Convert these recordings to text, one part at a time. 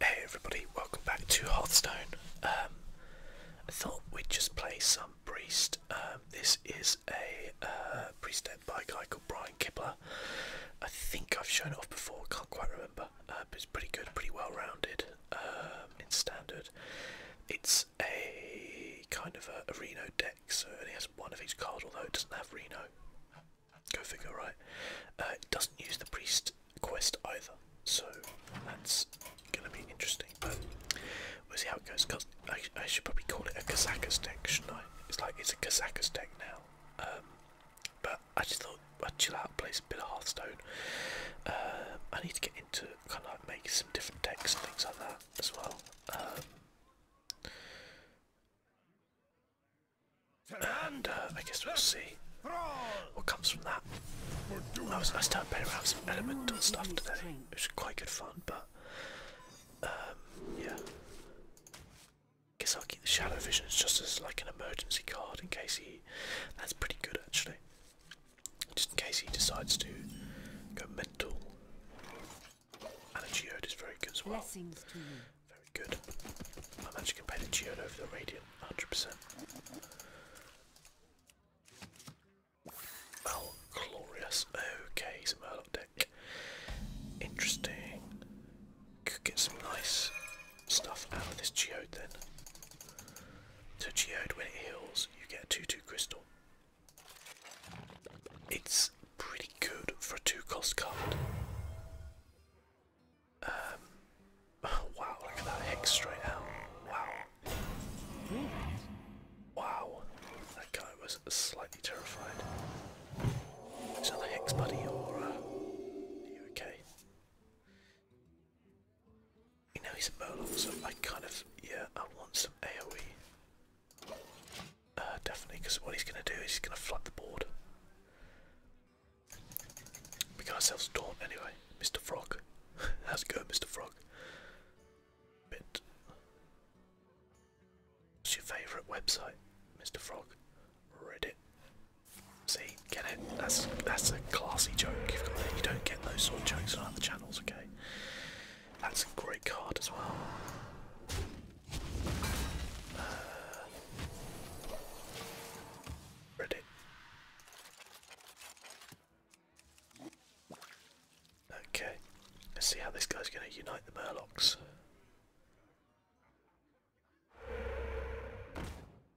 Hey everybody, welcome back to Hearthstone. Um, I thought we'd just play some Priest. Um, this is a uh, Priest deck by a guy called Brian Kibler. I think I've shown it off before, can't quite remember. Uh, but it's pretty good, pretty well rounded um, in standard. It's a kind of a, a Reno deck, so it only has one of each card, although it doesn't have Reno. Go figure, right? Uh, doesn't use the priest quest either, so that's gonna be interesting. But we'll see how it goes. I, I should probably call it a Kazakas deck, shouldn't I? It's like it's a Kazakas deck now. Um, but I just thought I'd chill out, play a bit of Hearthstone. Uh, I need to get into kind of like making some different decks and things like that as well. Um, and uh, I guess we'll see what comes from that. I was nice to have playing around some elemental stuff today. which was quite good fun, but um, yeah. Guess I'll keep the shadow visions just as like an emergency card in case he. That's pretty good actually. Just in case he decides to go mental. And a geode is very good as well. Very good. I'm actually going to pay the Geode over the Radiant, 100%. Oh, glorious. Okay, some Murloc deck. Interesting. Could get some nice stuff out of this Geode then. So Geode, when it heals, you get a 2-2 crystal. It's pretty good for a two cost card. Um, wow, look at that hex straight out. Wow. Wow. That guy was slightly terrified. Is that the hex buddy or are uh, you okay? You know he's a Moloch, so I kind of yeah, I want some AoE. Uh, definitely, because what he's going to do is he's going to flood the board. We got ourselves Dawn anyway. Mr. Frog. How's it going, Mr. Frog? Bit. What's your favourite website, Mr. Frog? Reddit. See, get it? That's that's a classy joke you don't get those sort of jokes on other channels, okay? That's a great card as well. Uh, Reddit. Okay, let's see how this guy's going to unite the Murlocs.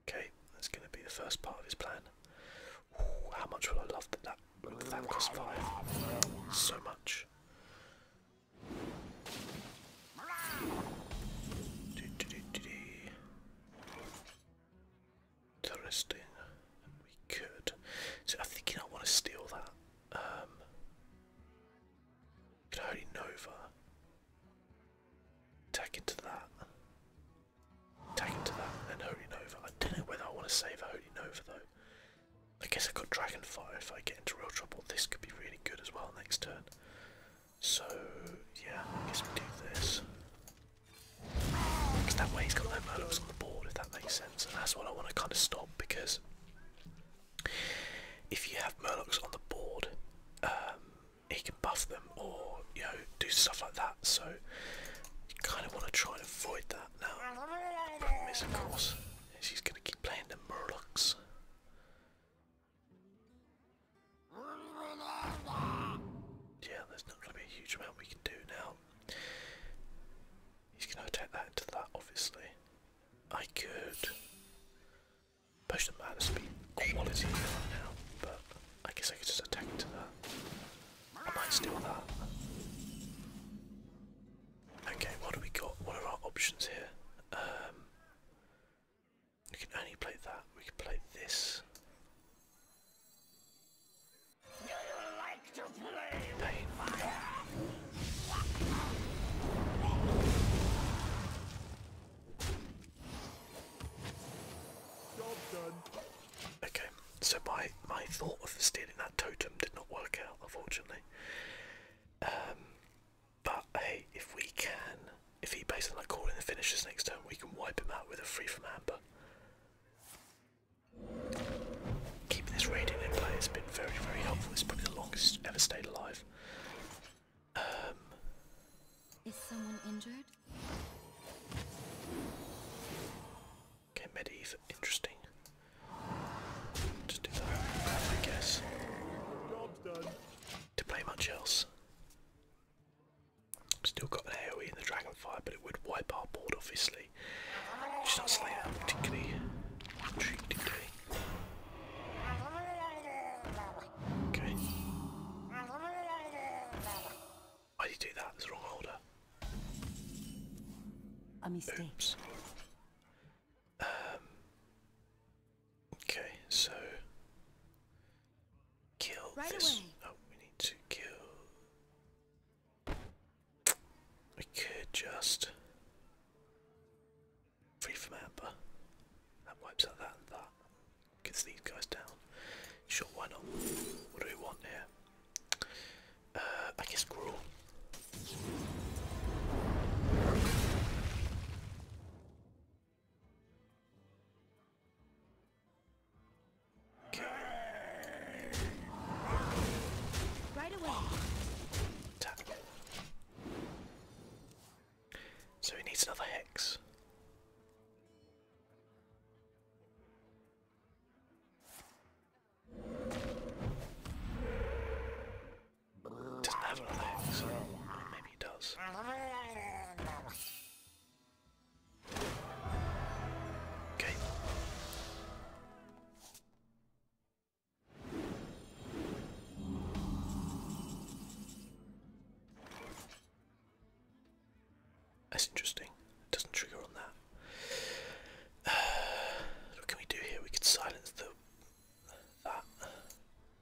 Okay, that's going to be the first part of his plan. Ooh, how much will I love that that, that cost five? So much. Interesting. We could. So I'm thinking I want to steal that. Um, can I only Nova? Attack into that. Attack into that and Holy Nova. I don't know whether I want to save a Holy Nova though. I guess I got Dragonfire if I get into real trouble. This could be really good as well next turn. So yeah, I guess do this. that way he's got no murderers on the board, if that makes sense. And that's what I want to kind of stop because if you have Murlocs on the board, um, he can buff them or you know do stuff like that. So you kind of want to try and avoid that. Now, problem is, of course, is he's going to keep playing the Murlocs. Yeah, there's not going to be a huge amount we can do now. He's going to attack that into that, obviously. I could push the mana speed quality right now, but I guess I could just attack into that. I might steal that. Okay, what do we got? What are our options here? Um, we can only play that. We can play this. Do you like to play Pain. fire? Okay, so my my thought of stealing that totem did not work out, unfortunately. Um, but hey, if we can, if he basically like that call in the finishes next turn, we can wipe him out with a free from Amber. Keeping this radiant in play has been very, very helpful. It's probably the longest it's ever stayed alive. Um, Is someone injured? Okay, Medivh, interesting. Just do that, I guess to play much else. Still got an AoE in the dragon Dragonfire, but it would wipe our board obviously. She's not slaying that particularly intriguingly. Okay. Why did you do that? It's the wrong order. A mistake. Okay, so kill this. Oh, we need to kill. We could just free from amber. That wipes out that and that. Gets these guys down. Sure, why not? What do we want here? Uh, I guess gruel. Right away. So he needs another hex. Doesn't have maybe he does. Okay. That's interesting. It doesn't trigger on that. what can we do here? We could silence the that.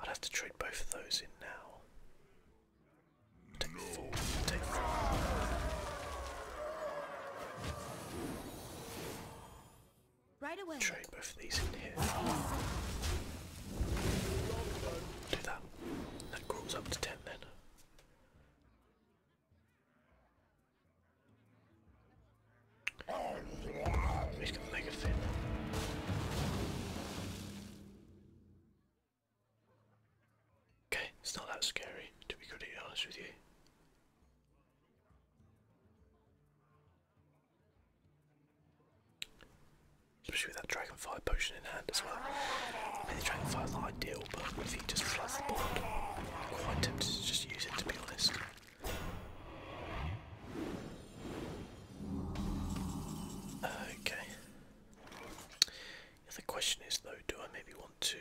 I'd have to trade both of those in now. Trade both of these in here. Do that. That crawls up to ten then. He's gonna make a fit. Okay, it's not that scary, to be completely honest with you. Especially with that dragonfly potion in hand as well. I mean, the is not ideal, but if he just floods the board, I'm quite tempted to just use it, to be honest. Okay. the question is though, do I maybe want to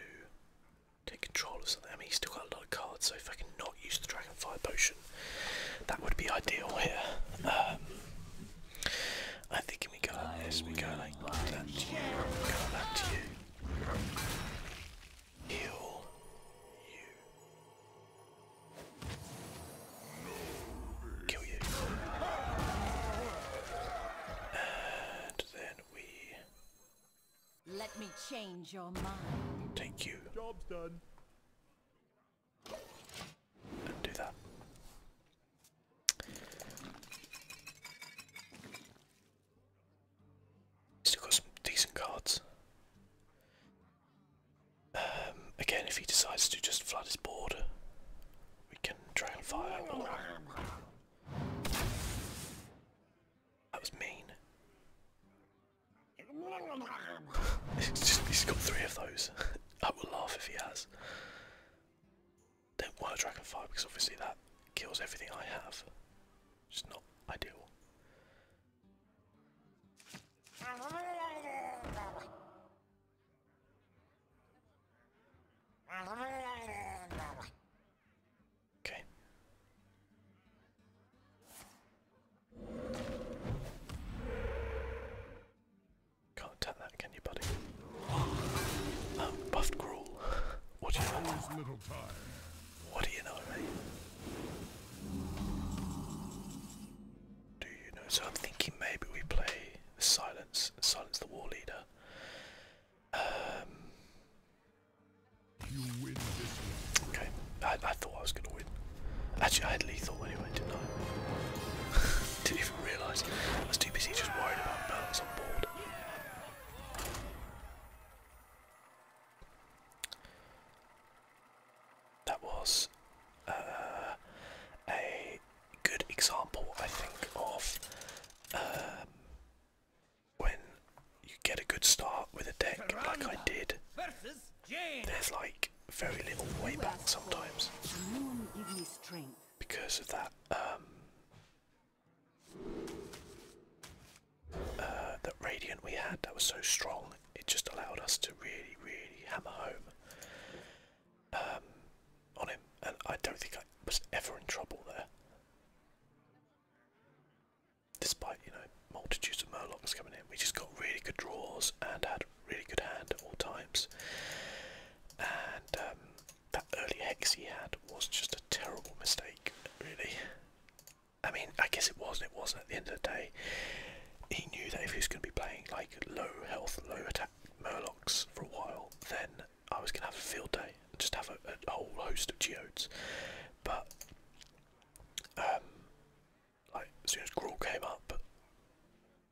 take control of something? I mean, he's still got a lot of cards, so if I can not use the dragon fire potion, that would be ideal here. Um, I think we go we go like that to you, we go that to you. Heal you. Kill you. And then we. Let me change your mind. Take you. Job's done. do that. Still got some decent cards. Um, again, if he decides to just flood his board, we can trail fire. That was mean. It's just, he's got three of those. I will laugh if he has. Don't want a dragon fire because obviously that kills everything I have. Just not ideal. Okay. Can't attack that, can you, buddy? Oh, buffed gruel. what do you know? What do you know, mate? Do you know? So I'm thinking maybe we play Silence, Silence the War Leader. okay, I, I thought I was going to win. Actually, I had lethal anyway, didn't I? didn't even realise. I was too busy just worried about balance on board. That was uh, a good example, I think, of um, when you get a good start with a deck like I did. There's like very little way back sometimes because of that. Um, uh, that radiant we had that was so strong it just allowed us to really, really hammer home um, on him, and I don't think I was ever in trouble there. Despite, you know, multitudes of Murlocs coming in, we just got really good draws and had really good hand at all times. And um, that early hex he had was just a terrible mistake, really. I mean, I guess it was not it wasn't at the end of the day. He knew that if he was going to be playing like low health, low attack Murlocs for a while, then I was going to have a field day and just have a, whole host of Geodes. But, um, like, as soon as Gruul came up,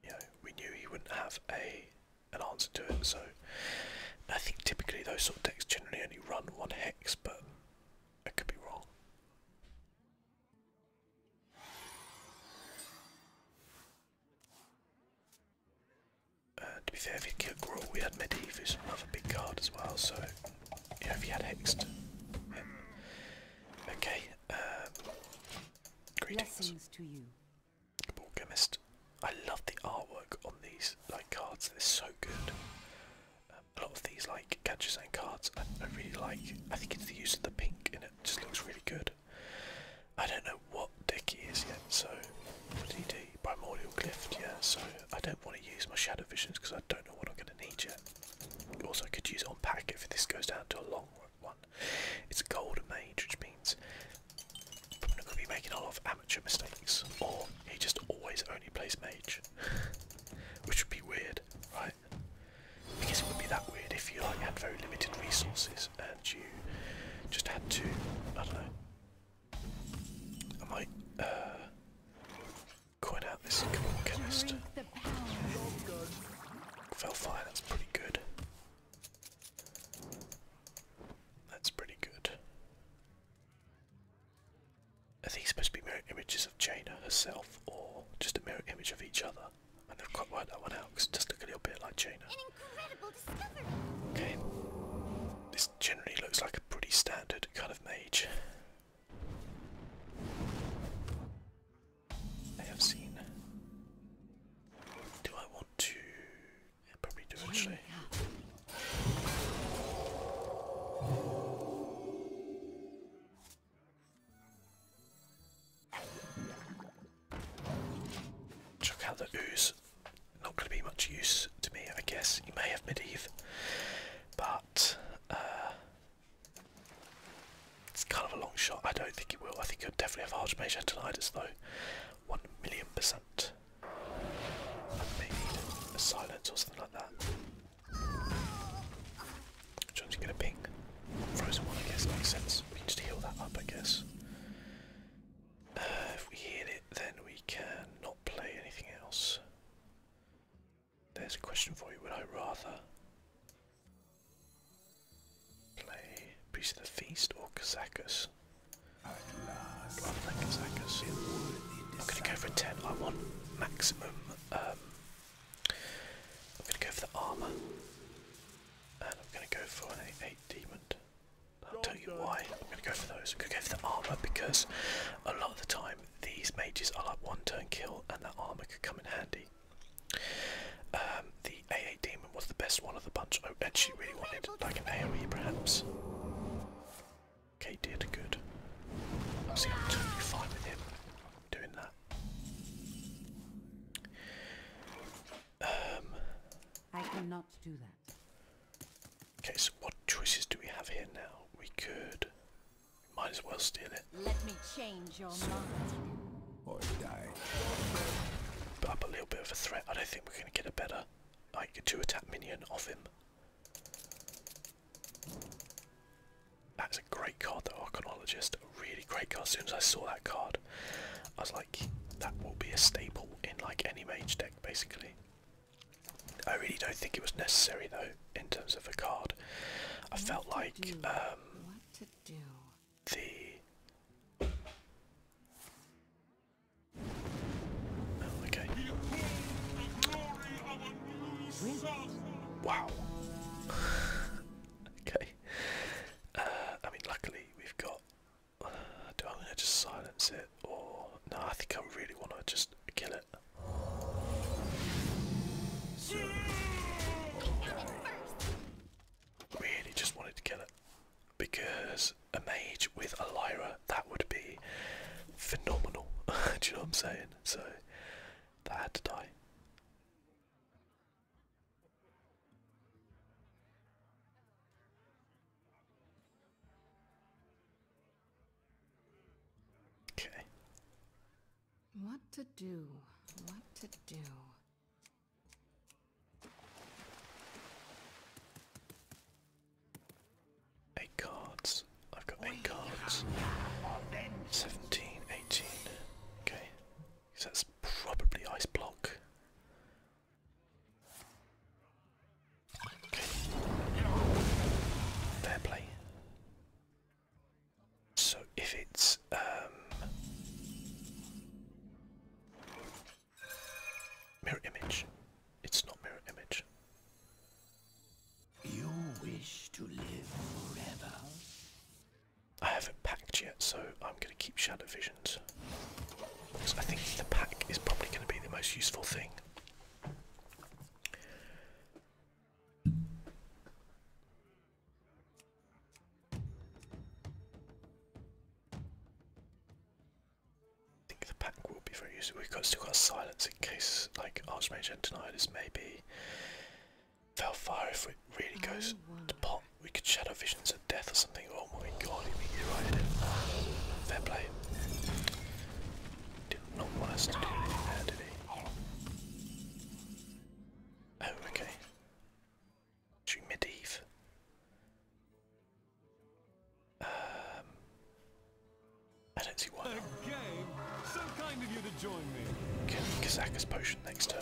you know, we knew he wouldn't have a an answer to it. So, I think typically those sort of decks generally only run one hex, but I could be wrong. Uh, to be fair, if you killed Gruul, we had Medivh, another big card as well, so you know, if you had Hexed. Yeah. Okay, um, greetings. Ball Chemist. I love the artwork on these like cards, they're so good a lot of these like gadgets and cards I, really like. I think it's the use of the pink and it just looks really good. I don't know what deck is yet, so what did he do? Primordial Clift, yeah, so I don't want to use my Shadow Visions because I don't know what I'm going to need yet. Also, I could use it on pack if this goes down to a long one. It's a golden mage, which means I'm not going to be making a lot of amateur mistakes, or he just always only plays mage, which would be weird, right? Because it would be that weird if you like had very limited resources and you just had to, I don't know. I might uh, coin out this chemist. Fellfire, that's pretty good. That's pretty good. Are these supposed to be mirror images of Jaina herself or just a mirror image of each other? I never quite worked that one out because it does look a little bit like Jaina. Okay. This generally looks like a pretty standard kind of mage. I have seen. Do I want to? probably do actually. Chuck out the ooze. Not going to be much use to me, I guess. You may have Medivh, but uh, it's kind of a long shot. I don't think it will. I think you'll definitely have Archmage as though. One million percent. I silence or something like that. Trying to get a ping. Frozen one, I guess, makes sense. We can just heal that up, I guess. Uh, if we heal it, then we can not play anything else. There's a question for you. Would I rather play Priest of the Feast or Kazakus? I'm going to go for a 10. I want maximum um, I'm going to go for the armor, and I'm going to go for an 8 demon. I'll tell you why I'm going to go for those. I'm going to go for the armor because a lot of the time these mages are like one turn kill, and that armor could come in handy. Um, the AA demon was the best one of the bunch. and she really wanted like an AoE perhaps. Okay, did good. I seem totally fine with him doing that. Um, I cannot do that. Okay, so what choices do we have here now? We could. might as well steal it. Let me change your mind. Or die. Put a little bit of a threat. I don't think we're going to get a better, like, two attack minion off him. That's a great card, the Archaeologist. A really great card. As soon as I saw that card, I was like, that will be a staple in like any mage deck, basically. I really don't think it was necessary, though, in terms of a card. I felt like um, the. Oh, okay. Wow. okay. Uh, I mean, luckily we've got. Uh, do I want to just silence it, or no? I think I really want to just kill it. Really, just wanted to kill it because a mage with a that would be phenomenal. do you know what I'm saying? So that had to die. Okay. What to do? What to do? A cards I've got 8 cards. 17, 18. Okay. that's probably ice block. Okay. Fair play. So if it's um mirror image, it's not mirror image. I haven't packed yet, so I'm going to keep Shadow Visions. Because I think the pack is probably going to be the most useful thing. I think the pack will be very useful. We've got, still got silence in case, like Archmage Antonidus, maybe Valfire, if it really oh, goes to pot, we could shadow visions of death or something. Oh my god, he beat you right Fair play. Did not want us to do anything did he? Oh, okay. Should Um, I don't see why. Not. Game. So kind of you to join me. Get Kazaka's potion next turn.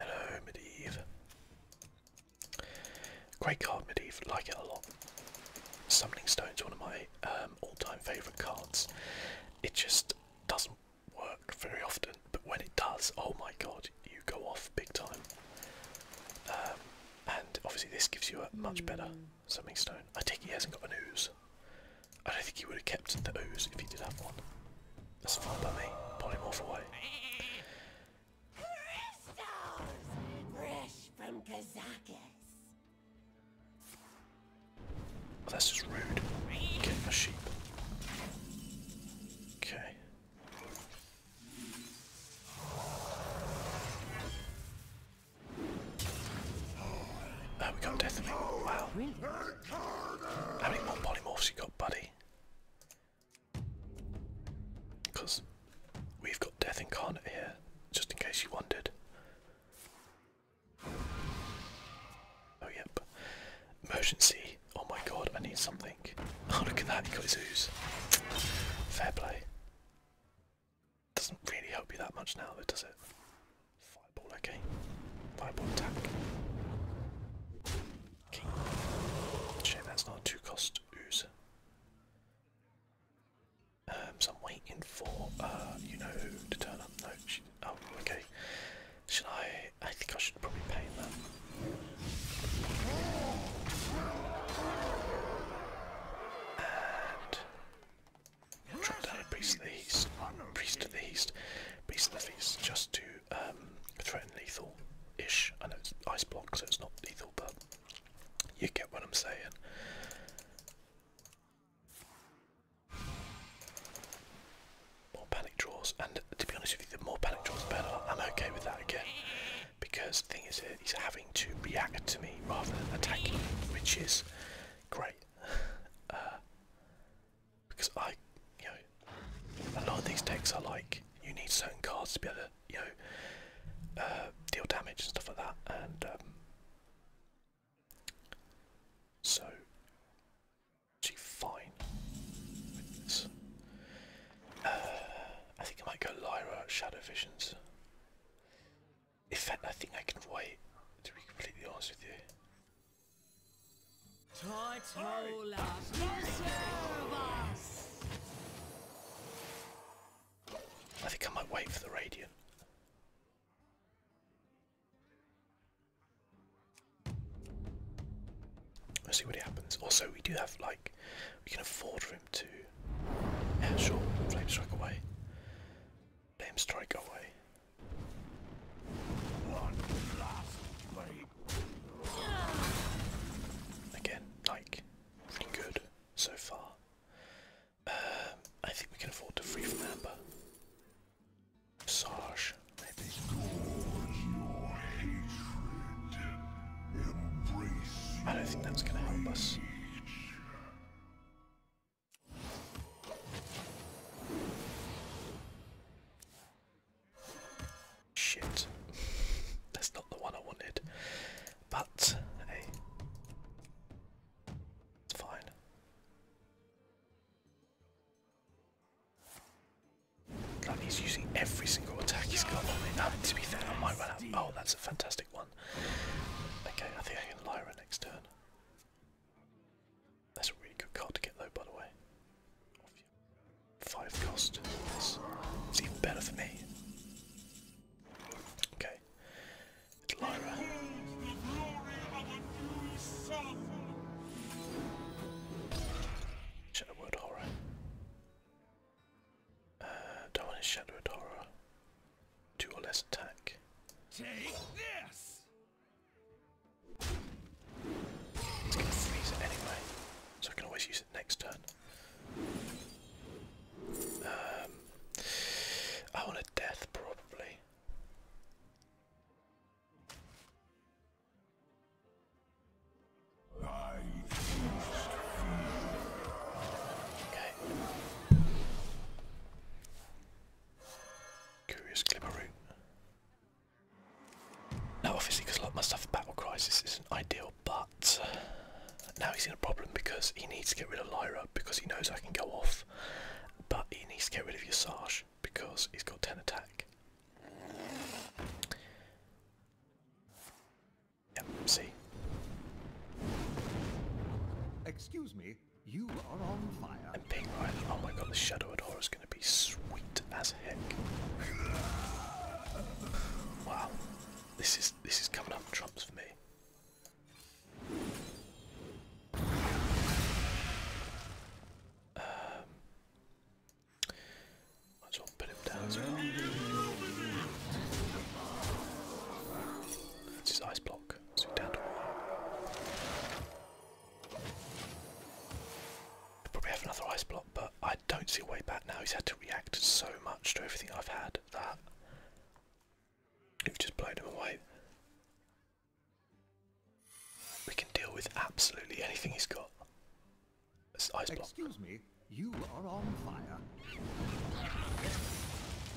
Hello, Medivh. Great card, Medivh. Like it a lot. Summoning Stone's one of my um, all-time favourite cards. It just doesn't work very often, but when it does, oh my god, you go off big time. Um, and obviously this gives you a much better hmm. Something stone. I take he hasn't got an ooze. I don't think he would have kept the ooze if he did have one. That's fine by me. Pull him off away. from Kazakis. Oh, that's just rude. Getting a sheep. Okay. Oh, we go, definitely. Wow. How many more polymorphs you got, buddy? Because we've got Death Incarnate here, just in case you wondered. Oh, yep. Emergency. Oh my god, I need something. Oh, look at that, he got his ooze. Fair play. Doesn't really help you that much now, though, does it? Fireball, okay. Fireball attack. King. Shame that's not a two-cost ooze. Um, so I'm waiting for, uh, you know to turn up. oh, okay. Should I, I think I should probably pay that drop down a priest of the east, priest of the east, priest of the east, just to um, threaten lethal-ish. I know it's ice block, so it's not lethal, but you get what I'm saying. More panic draws, and to be honest with you, the more panic draws, the better. I'm okay with that again, because the thing is, He's having to react to me rather than attacking me, which is great. Uh, because I, you know, a lot of these decks are like you need certain cards to be able to, you know, uh, deal damage and stuff like that. And um, so, actually, fine. Uh, I think I might go Lyra Shadow Visions. In fact, I think I can wait, to be completely honest with you. I think I might wait for the Radiant. Let's see what happens. Also, we do have, like, we can afford room to Airshore, Flame Strike away. Flame Strike away. Again, like, pretty good so far. Um, I think we can afford to free from Amber. Sarge, I don't think that's going to help us. Shit. That's not the one I wanted. But hey. It's fine. he's using every single attack he's got on me. Now, to be fair, I might run out. Oh, that's a fantastic. Okay, I think I can Lyra next turn. That's a really good card to get though, by the way. Five cost. Yes. It's even better for me. Okay. Lyra. Shadowwood Horror. Uh, don't want his Shadow Adora. Two or less attack. Take this. It's gonna freeze it anyway, so I can always use it next turn. Um, I want a death probably. Okay. Curious glimmer route. Now obviously because a lot of my stuff with battle crisis isn't ideal but uh, now he's in a problem because he needs to get rid of Lyra because he knows I can go off but he needs to get rid of your Yasage because he's got 10 attack see. Excuse me, you are on fire. And being right, oh my god, the Shadow Adora is going to be sweet as heck. Wow, this is this is coming up trumps for me. Um, might put him down that's his ice block. probably have another ice block, but I don't see a way back now. He's had to react so much to everything I've had that we just blown him away. We can deal with absolutely anything he's got. ice block. Excuse me, you are on fire.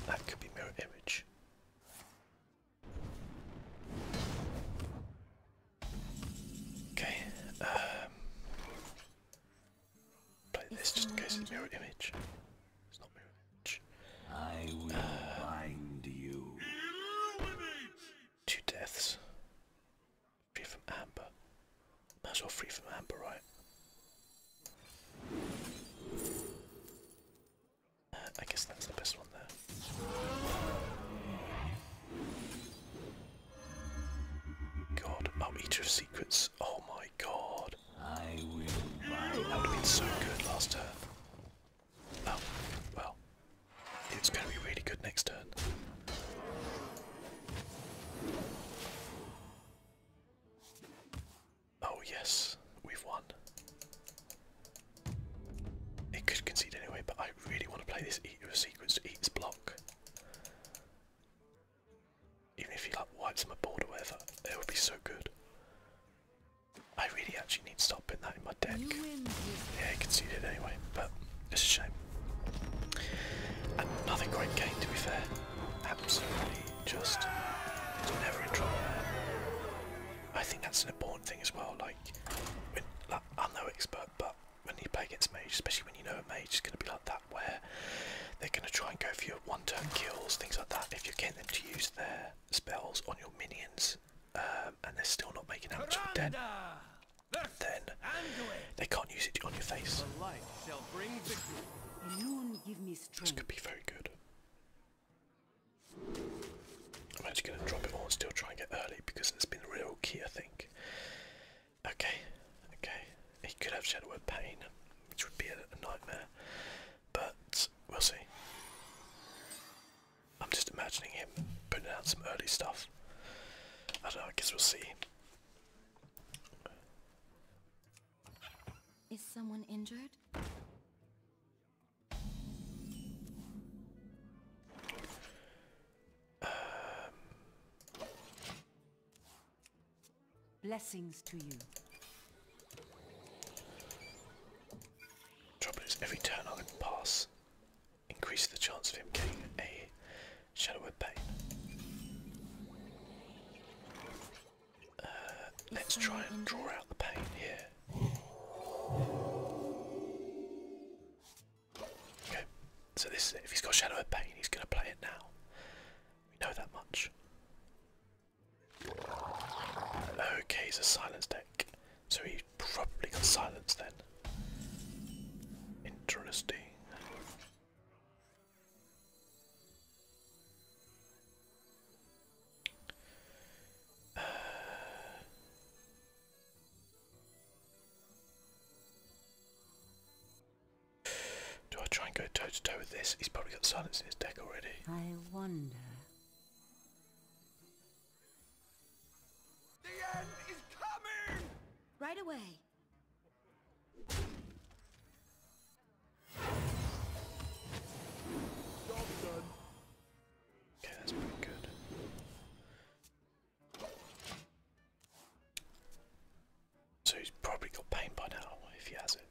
That could be mirror image. Okay. Um, play this just in case it's mirror image. It's not mirror image. I will uh, you. Two deaths. Free from amber. as well free from amber, right? I guess that's the best one there. God, oh, Eater of Secrets. Oh my god. I That would have been so good last turn. Oh, well. It's going to be really good next turn. Oh yes, we've won. It could concede anyway, but I really want to play this eat your sequence to eat block. Even if he like wipes my board or whatever, it would be so good. I really actually need to stop putting that in my deck. Yeah, he conceded anyway, but it's a shame. another great game to be fair. Absolutely just never in trouble I think that's an important thing as well, like, I'm no expert, but when you play against mage, especially when you know a mage is going to be like that, where they're going to try and go for your one-turn kills, things like that, if you get them to use their spells on your minions, um, and they're still not making damage with dead, then they can't use it on your face. The light bring victory. This could be very good. I'm actually going to drop it all and still try and get early because it's been real key, I think. Okay, okay. He could have Shadow of Pain, which would be a nightmare, but we'll see. I'm just imagining him putting out some early stuff. I don't know, I guess we'll see. Is someone injured? Blessings to you. Trouble every turn I pass, increase the chance of him getting a shadow pain. Uh, let's try and draw out the pain here. Okay, so this if he's got Shadow of Pain, he's going to play it now. We know that much. Okay, he's a silence deck, so he probably got silence then. Interesting do I try and go toe to toe with this? He's probably got silence in his deck already. I wonder. The end is coming! Right away that's pretty good. So he's probably got pain by now if he has it.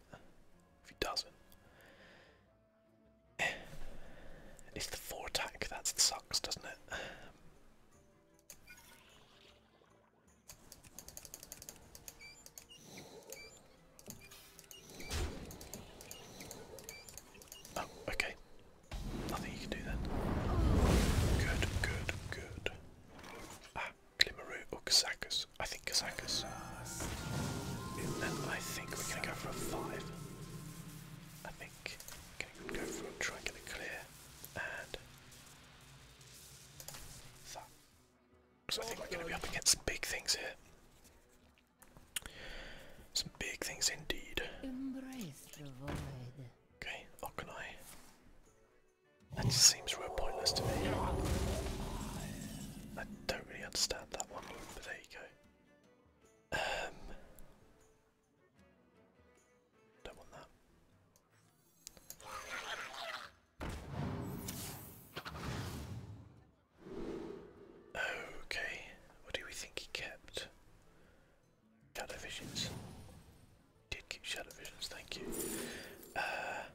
If he doesn't. Eh. It's the four attack, that sucks, doesn't it? Oh, okay. Nothing you can do then. Good, good, good. Ah, Glimmeru or Kazakus. I think Kazakus. Then I think we're gonna go for a five. I think we're gonna go for a try and get a clear and that. So I think we're going to be up against some big things here. Some big things indeed. Embrace the void. Okay, how That seems real pointless to me. I don't really understand that one, but there you go. Um, don't want that. Okay, what do we think he kept? Shadow visions. did keep shadow visions, thank you. Uh,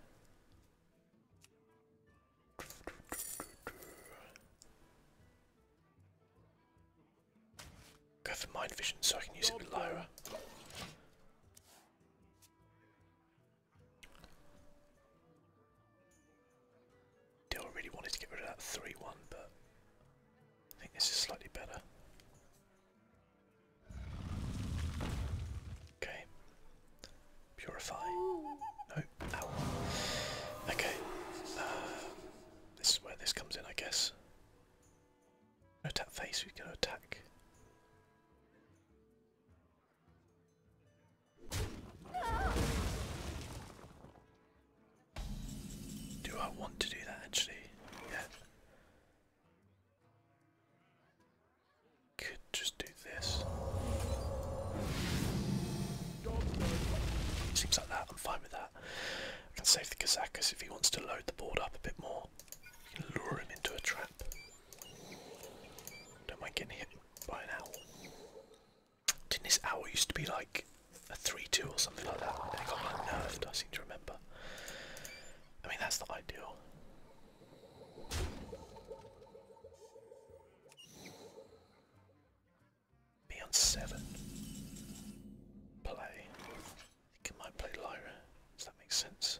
go for mind vision so I can use it with Lyra. Still really wanted to get rid of that 3-1, but I think this is slightly better. Okay. Purify. No. Ow. Okay. Uh, this is where this comes in, I guess. No tap face, we're going to attack. Do I want to do that actually? Yeah. Could just do this. Seems like that, I'm fine with that. can save the Kazakas if he wants to load the board up a bit more. can lure him into a trap. Don't mind getting hit by an owl. Didn't this owl used to be like a 3-2 or something like that? And it got like nerfed, I seem to remember. I mean, that's not ideal. Me on 7. Play. think I might play Lyra. Does that make sense?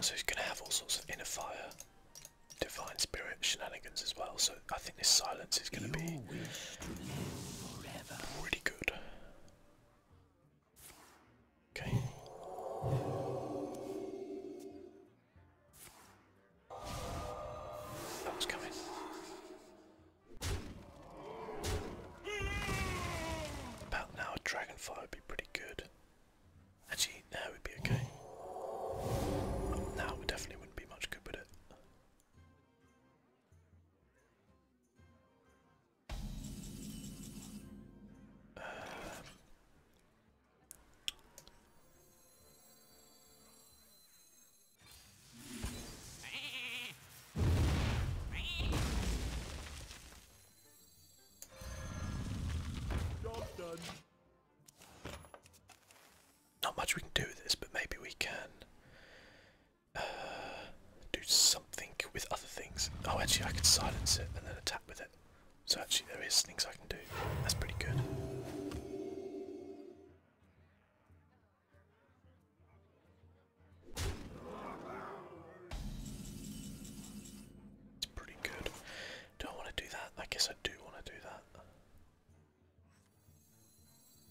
So he's going to have all sorts of inner fire, divine spirit shenanigans as well. So I think this silence is going to be pretty good. Okay. That was coming. About now, a dragonfire would be pretty good. Actually, now would be okay. Now we definitely wouldn't be much good with it. Uh. Not much we can do with this, but maybe we can uh, do something with other things. Oh, actually, I could silence it and then attack with it. So actually, there is things I can do. That's pretty good. It's pretty good. Do I want to do that? I guess I do want to do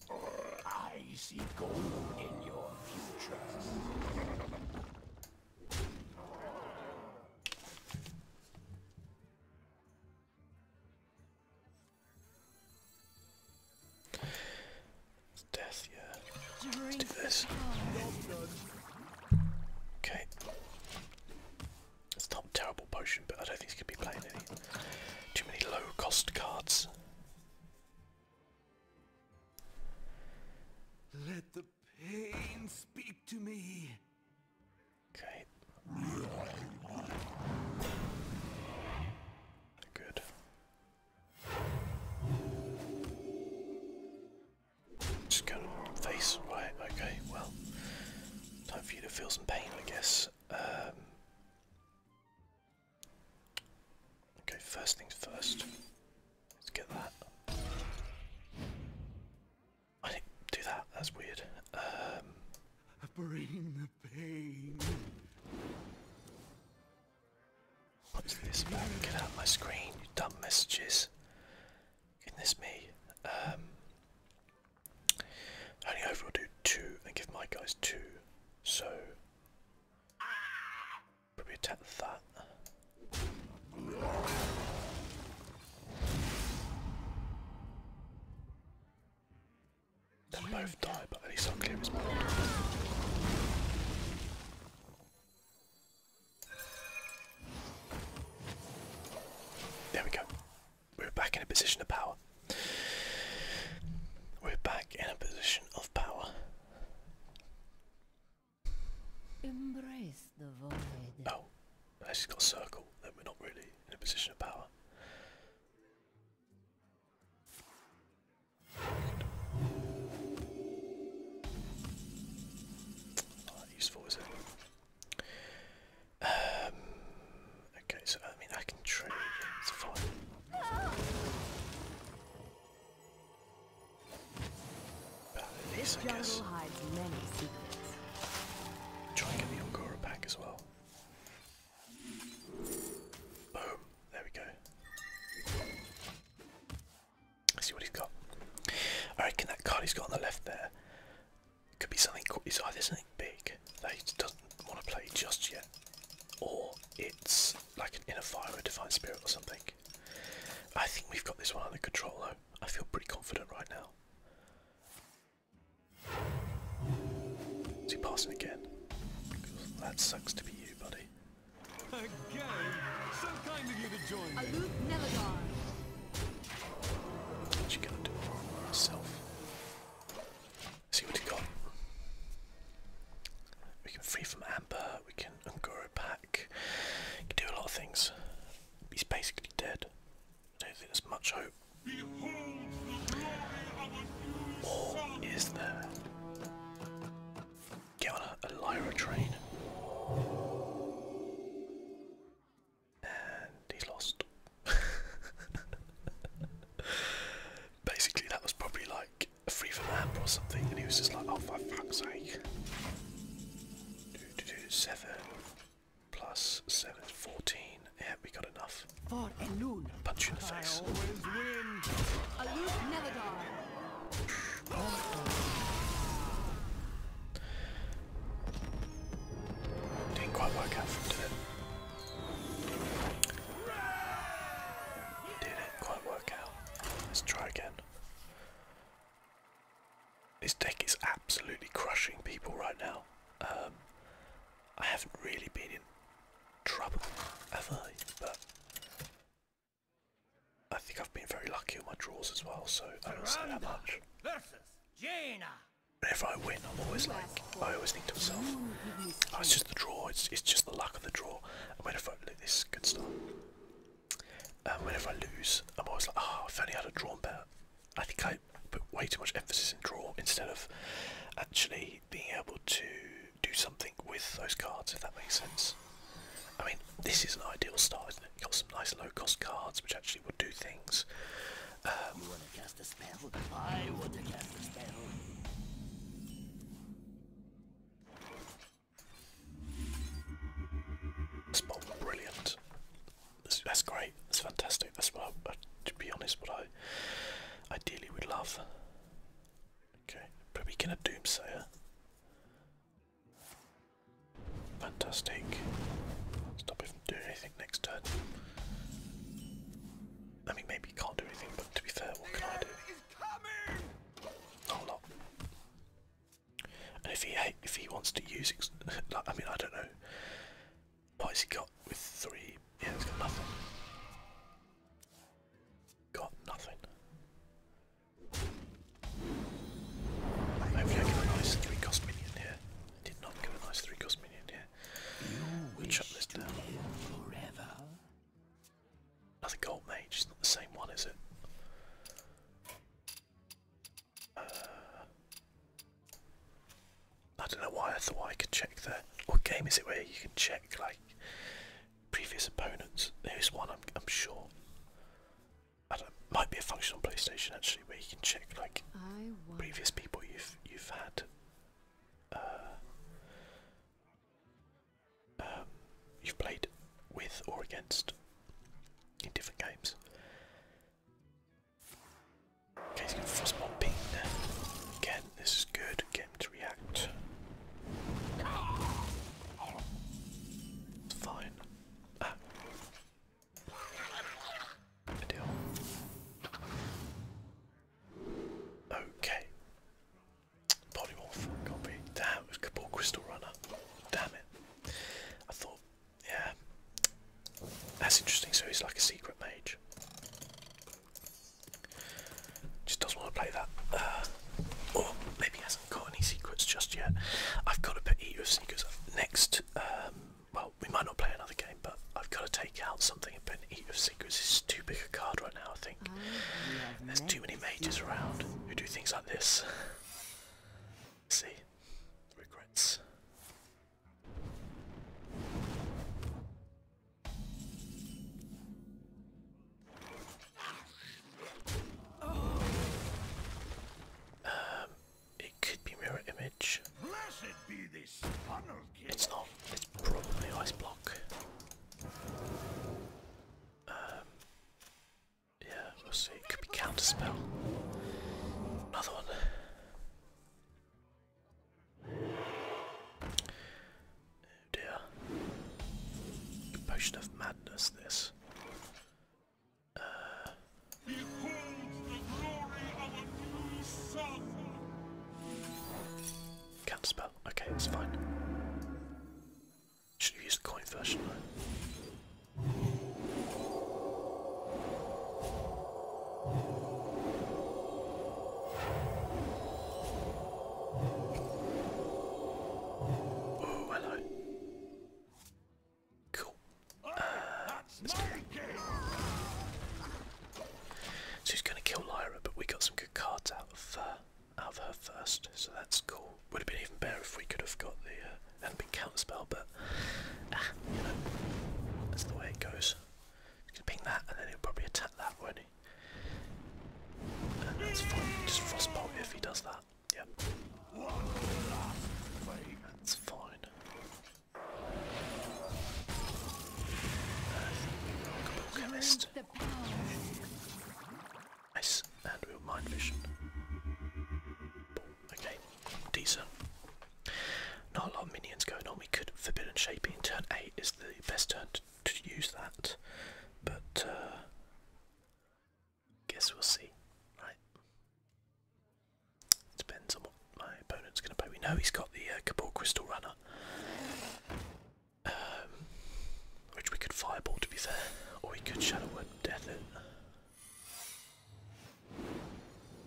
that. I see gold in your future. Let's do this. Okay. It's not a terrible potion, but I don't think he's going to be playing any. Too many low-cost cards. Okay. Good. Just kind of face, right, okay, well, time for you to feel some pain, I guess. Um, okay, first things first, let's get that. I did do that, that's weird. Um, Bring the pain. What's this about? Get out my screen, you dumb messages. Goodness me. Um, only I will do two and give my guys two. So probably attack that. Then both die, but at least I'll there we go. We're back in a position of power. We're back in a position of power. Embrace the void. Oh, I just got a circle, then we're not really in a position of power useful, is it? Um, okay, so I mean, I can trade. It's fine. But at least I guess. Try and get the Angora pack as well. Boom! There we go. Let's see what he's got. I reckon that card he's got on the left there could be something. It's either something big that he doesn't want to play just yet, or it's like an inner fire, a divine spirit, or something. I think we've got this one under control though. I feel pretty confident right now. Is he passing again? That sucks to be you, buddy. Again? So kind of you to join me. What you do for myself? See what you got. We can free from Amber, we can Ungoro back. You can do a lot of things. He's basically dead. I don't think there's much hope. Or there? Get on a Lyra train and he lost. Basically, that was probably like a free for lamp or something, and he was just like, "Oh, for fuck's sake!" seven plus seven is fourteen. Yeah, we got enough. Punch in the face. Didn't quite work out for him, did not quite work out. Let's try again. This deck is absolutely crushing people right now. Um, I haven't really been in trouble, have I? But I think I've been very lucky on my draws as well, so I don't say that much. If I win, I'm always like, I always think to myself, oh, it's just the draw, it's, it's just the luck of the draw. And whenever I lose, this good stuff. And whenever I lose, I'm always like, oh, if only I'd have drawn better. I think I put way too much emphasis in draw instead of actually being able to do something with those cards, if that makes sense. I mean, this is an ideal start, it? got some nice low-cost cards which actually would do things. Um, brilliant. That's, great. That's fantastic. That's what to be honest, what I ideally would love. Okay, probably get a Doomsayer. Fantastic. Stop it doing anything next turn. I mean, maybe can't do anything, but to be fair, what can I do? Not a lot. And if he if he wants to use, I mean, I don't know. What has he got with three? Yeah, he's got nothing. Got nothing. Hopefully I get a nice three cost minion here. did not get a nice three cost minion here. We'll chop this down. Another gold mage, not the same one, is it? Uh, I don't know why I thought I could check there. What game is it where you can check like previous opponents? There's one I'm sure. I don't, might be a functional PlayStation actually where you can check like previous people you've you've had uh, um, you've played with or against in different games. Okay, he's going to frostbomb ping Again, this is good. Get to react. fine. Okay. Polymorph, copy. Damn, it was Cabal Crystal Damn it. I thought, yeah. That's interesting, so he's like a secret mage. Just doesn't want to play that. Uh, or maybe he hasn't got any secrets just yet. I've got to put EUFC because next, um, well, we might not play another game, but I've got to take out something and put an EUFC secrets. It's too big a card right now, I think. Oh, There's too many mages around who do things like this. See, regrets. Um, it could be mirror image. It's not. It's probably ice block. Um, yeah, we'll see. could be counter spell. Another one. Oh dear. Potion of madness. This. Uh, can't spell. Okay, it's fine. Should have used the coin version though. Oh, hello. Cool. So he's going to kill Lyra, but we got some good cards uh, out of, her first, so that's cool. Would have been even better if we could have got the uh, hadn't counterspell, but ah, you know, that's the way it goes. You can ping that, and then he'll probably attack that, will he? And uh, that's fine. Just frostbolt if he does that that. Yep. That's fine. Nice. And we'll mind Okay, decent. Not a lot of minions going on. We could forbidden shaping turn eight is the best turn to, use that. But uh, Guess we'll see, right? Depends on what my opponent's going to play. We know he's got the uh, Cabal Crystal Runner, um, which we could Fireball to be fair, or we could Shadow Word Death it.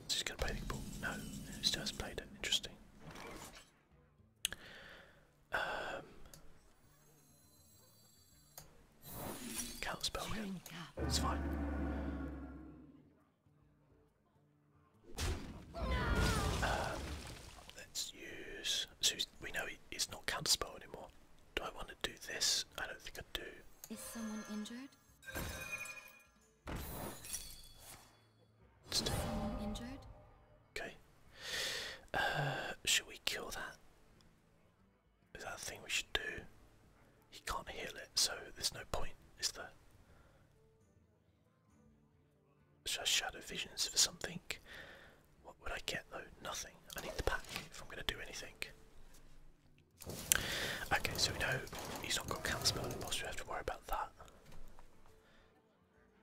Is he going to play the Cabal? No, he still played it. Interesting. Um, Counter spell, It's fine. Um, let's use. we know it's not count spell anymore. Do I want to do this? I don't think I do. Is someone injured? Is someone injured? Okay. Uh, should we kill that? Is that thing we should do? He can't heal it, so there's no point, is there? Just shadow visions for something. What would I get though? Nothing. I need the pack if I'm going to do anything. Okay, so we know he's not got cancer and boss, we have to worry about that.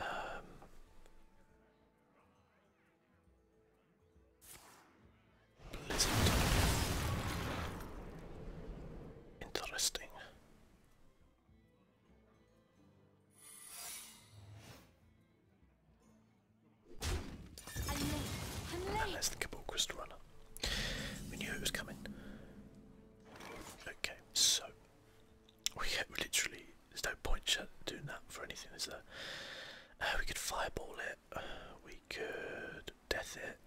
Um, Blizzard. Interesting. And there's runner. We knew it was coming. Okay, so we literally there's no point doing that for anything, is there? Uh, we could fireball it. we could death it.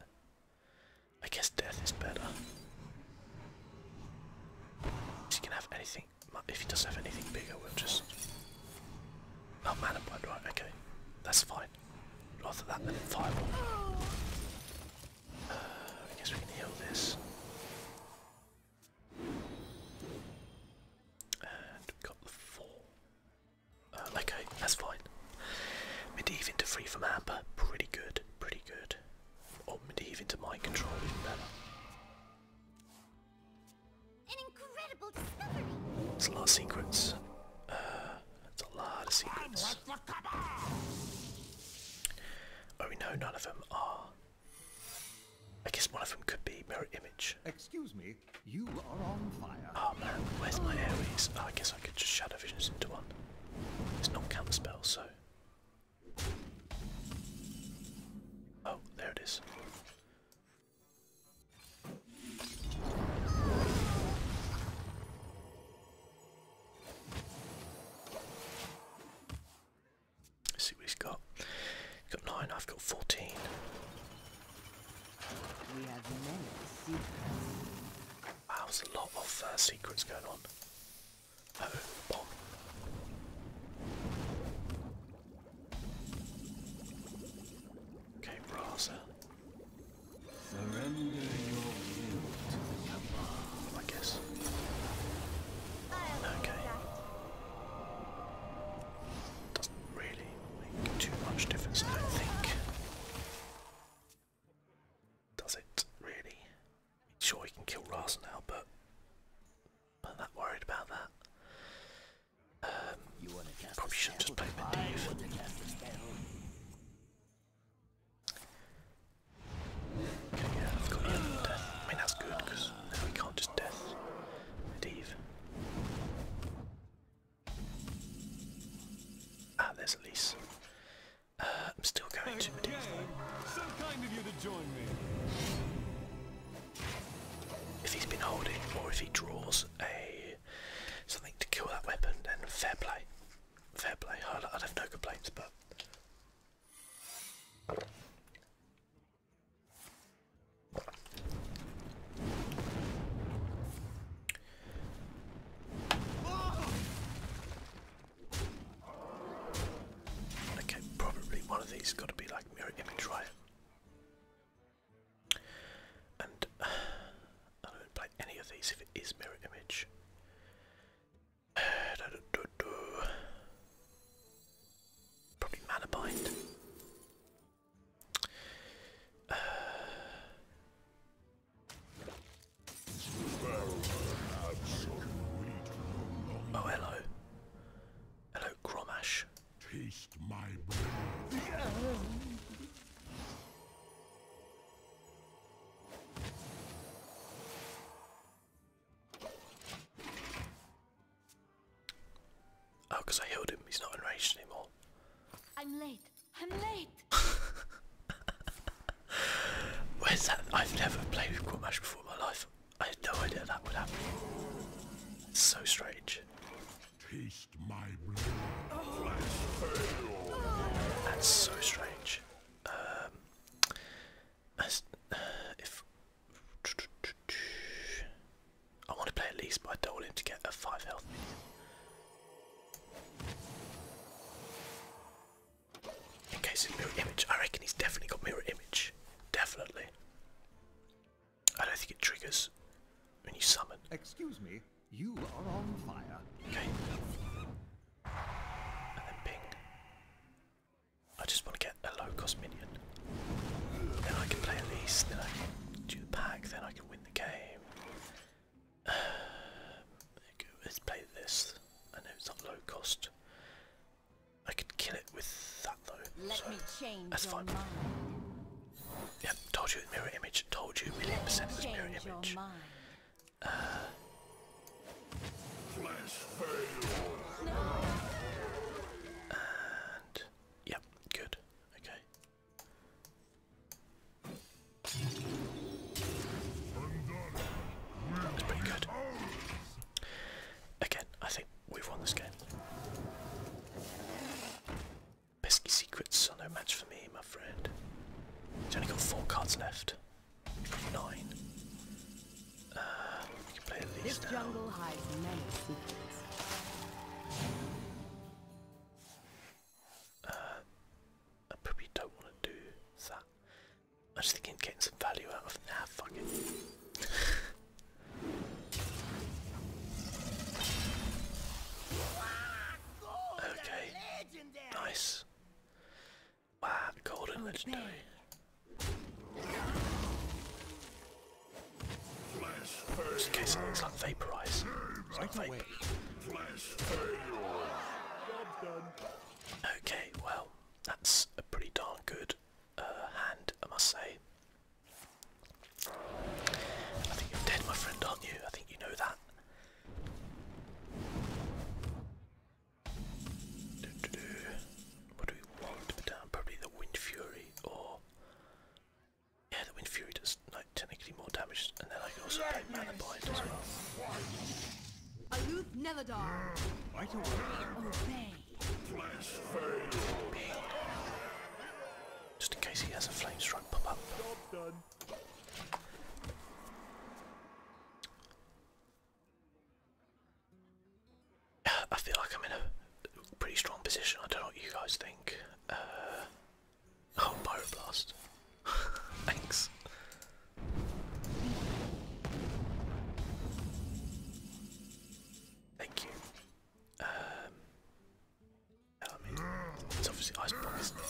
I guess death is better. If he can have anything, if he doesn't have anything bigger, we'll just. Oh, mana blood, right? Okay, that's fine. Rather than fireball. Uh, I guess we can heal this. And we got the four. Uh, that's fine. Medivh to free from Amber, pretty good, pretty good. Or Medivh to mind control, even better. An incredible discovery. It's a lot of secrets. Uh, that's a lot of secrets. Oh no, none of them are. I guess one of them could be mirror image. Excuse me, Oh man, where's my Aries? Oh, I guess I could just shadow visions into one. It's not count the spell, so. Oh, there it is. Let's see what he's got. He's got nine, I've got fourteen. Wow, there's a lot of uh, secrets going on. Oh, bomb. Okay, Brasa. Uh. Surrender your will to the Yamaha, I guess. Okay. Doesn't really too much difference, I don't think. Does it really? Sure, he can kill Ras now, but I'm not worried about that. Um, probably should just play Medivh. Okay, yeah, I've got him. I mean, that's good because we can't just death Medivh. Ah, there's Elise. Uh, I'm still going okay. to Medivh If he's been holding, or if he draws a something to kill that weapon, then fair play. Fair play. i have no complaints, but Okay, probably one of these got to be like mirror image, right? And I don't play any of these if it is mirror image. Probably mana bind. oh, hello. Hello, Gromash. Taste my blood. Oh, because I healed him. He's not enraged anymore. I'm late. I'm late. Where's that? I've never played with Quad before in my life. I had no idea that would happen. It's so strange. That's so strange. Um, uh, if I want to play at least, by doling to get a five health. In case of mirror image, I reckon he's definitely got mirror image. Definitely. I don't think it triggers when you summon. Excuse me, you are on fire. Okay. And then ping. I just want to get a low cost minion. Then I can play at least. then I can do the pack, then I can win the game. Um, let's play this. I know it's not low cost. I could kill it with that though. Let so me that's fine. Your Yep, told you it mirror image. Told you million percent it was mirror image. Uh, yep, good. Okay. That's pretty good. Again, I think we've won this game. Pesky secrets are no match for me, my friend. He's only got four cards left. Nine. Uh, we can play at least now. Uh, I probably don't want to do that. I just thinking i getting some value out of nah fuck it. okay. Nice. Wow, golden legendary. Just in case it looks like vaporize. It's not vape. Okay, well, that's a pretty darn good uh, hand, I must say. I think you're dead, my friend, aren't you? I think you know that. Probably the Wind Fury or yeah, the Wind Fury does like technically more damage, and then I can also play Mana Bind as well. Aloof never die. Just in case he has a flame strike pop up. I feel like I'm in a pretty strong position. I don't know what you guys think. Uh, oh, Pyroblast. Thanks. Thank you. Um, it's obviously ice bomb,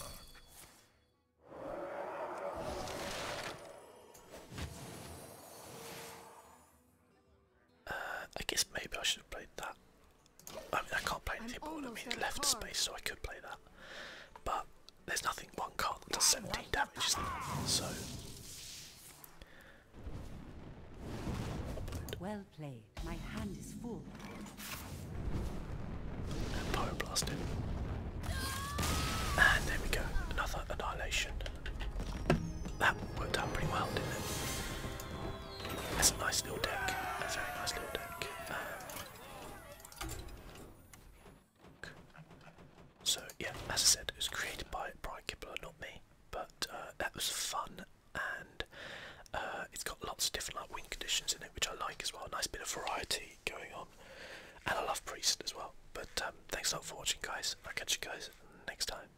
uh, I guess maybe I should have played that. I mean, I can't play anything but I mean, left space, so I could play that. But there's nothing one card that does 17 damage, So. Well played. My hand is full. pyroblast him. And there we go. Another annihilation. That worked out pretty well, didn't it? That's a nice little deck. That's a very nice little deck. Um, so yeah, as I said, it was created by Brian Kibler, not me. But uh, that was fun, and uh, it's got lots of different like win conditions in it, which I like as well. nice bit of variety going on, and I love Priest as well. But um, thanks a lot for watching, guys. I'll catch you guys next time.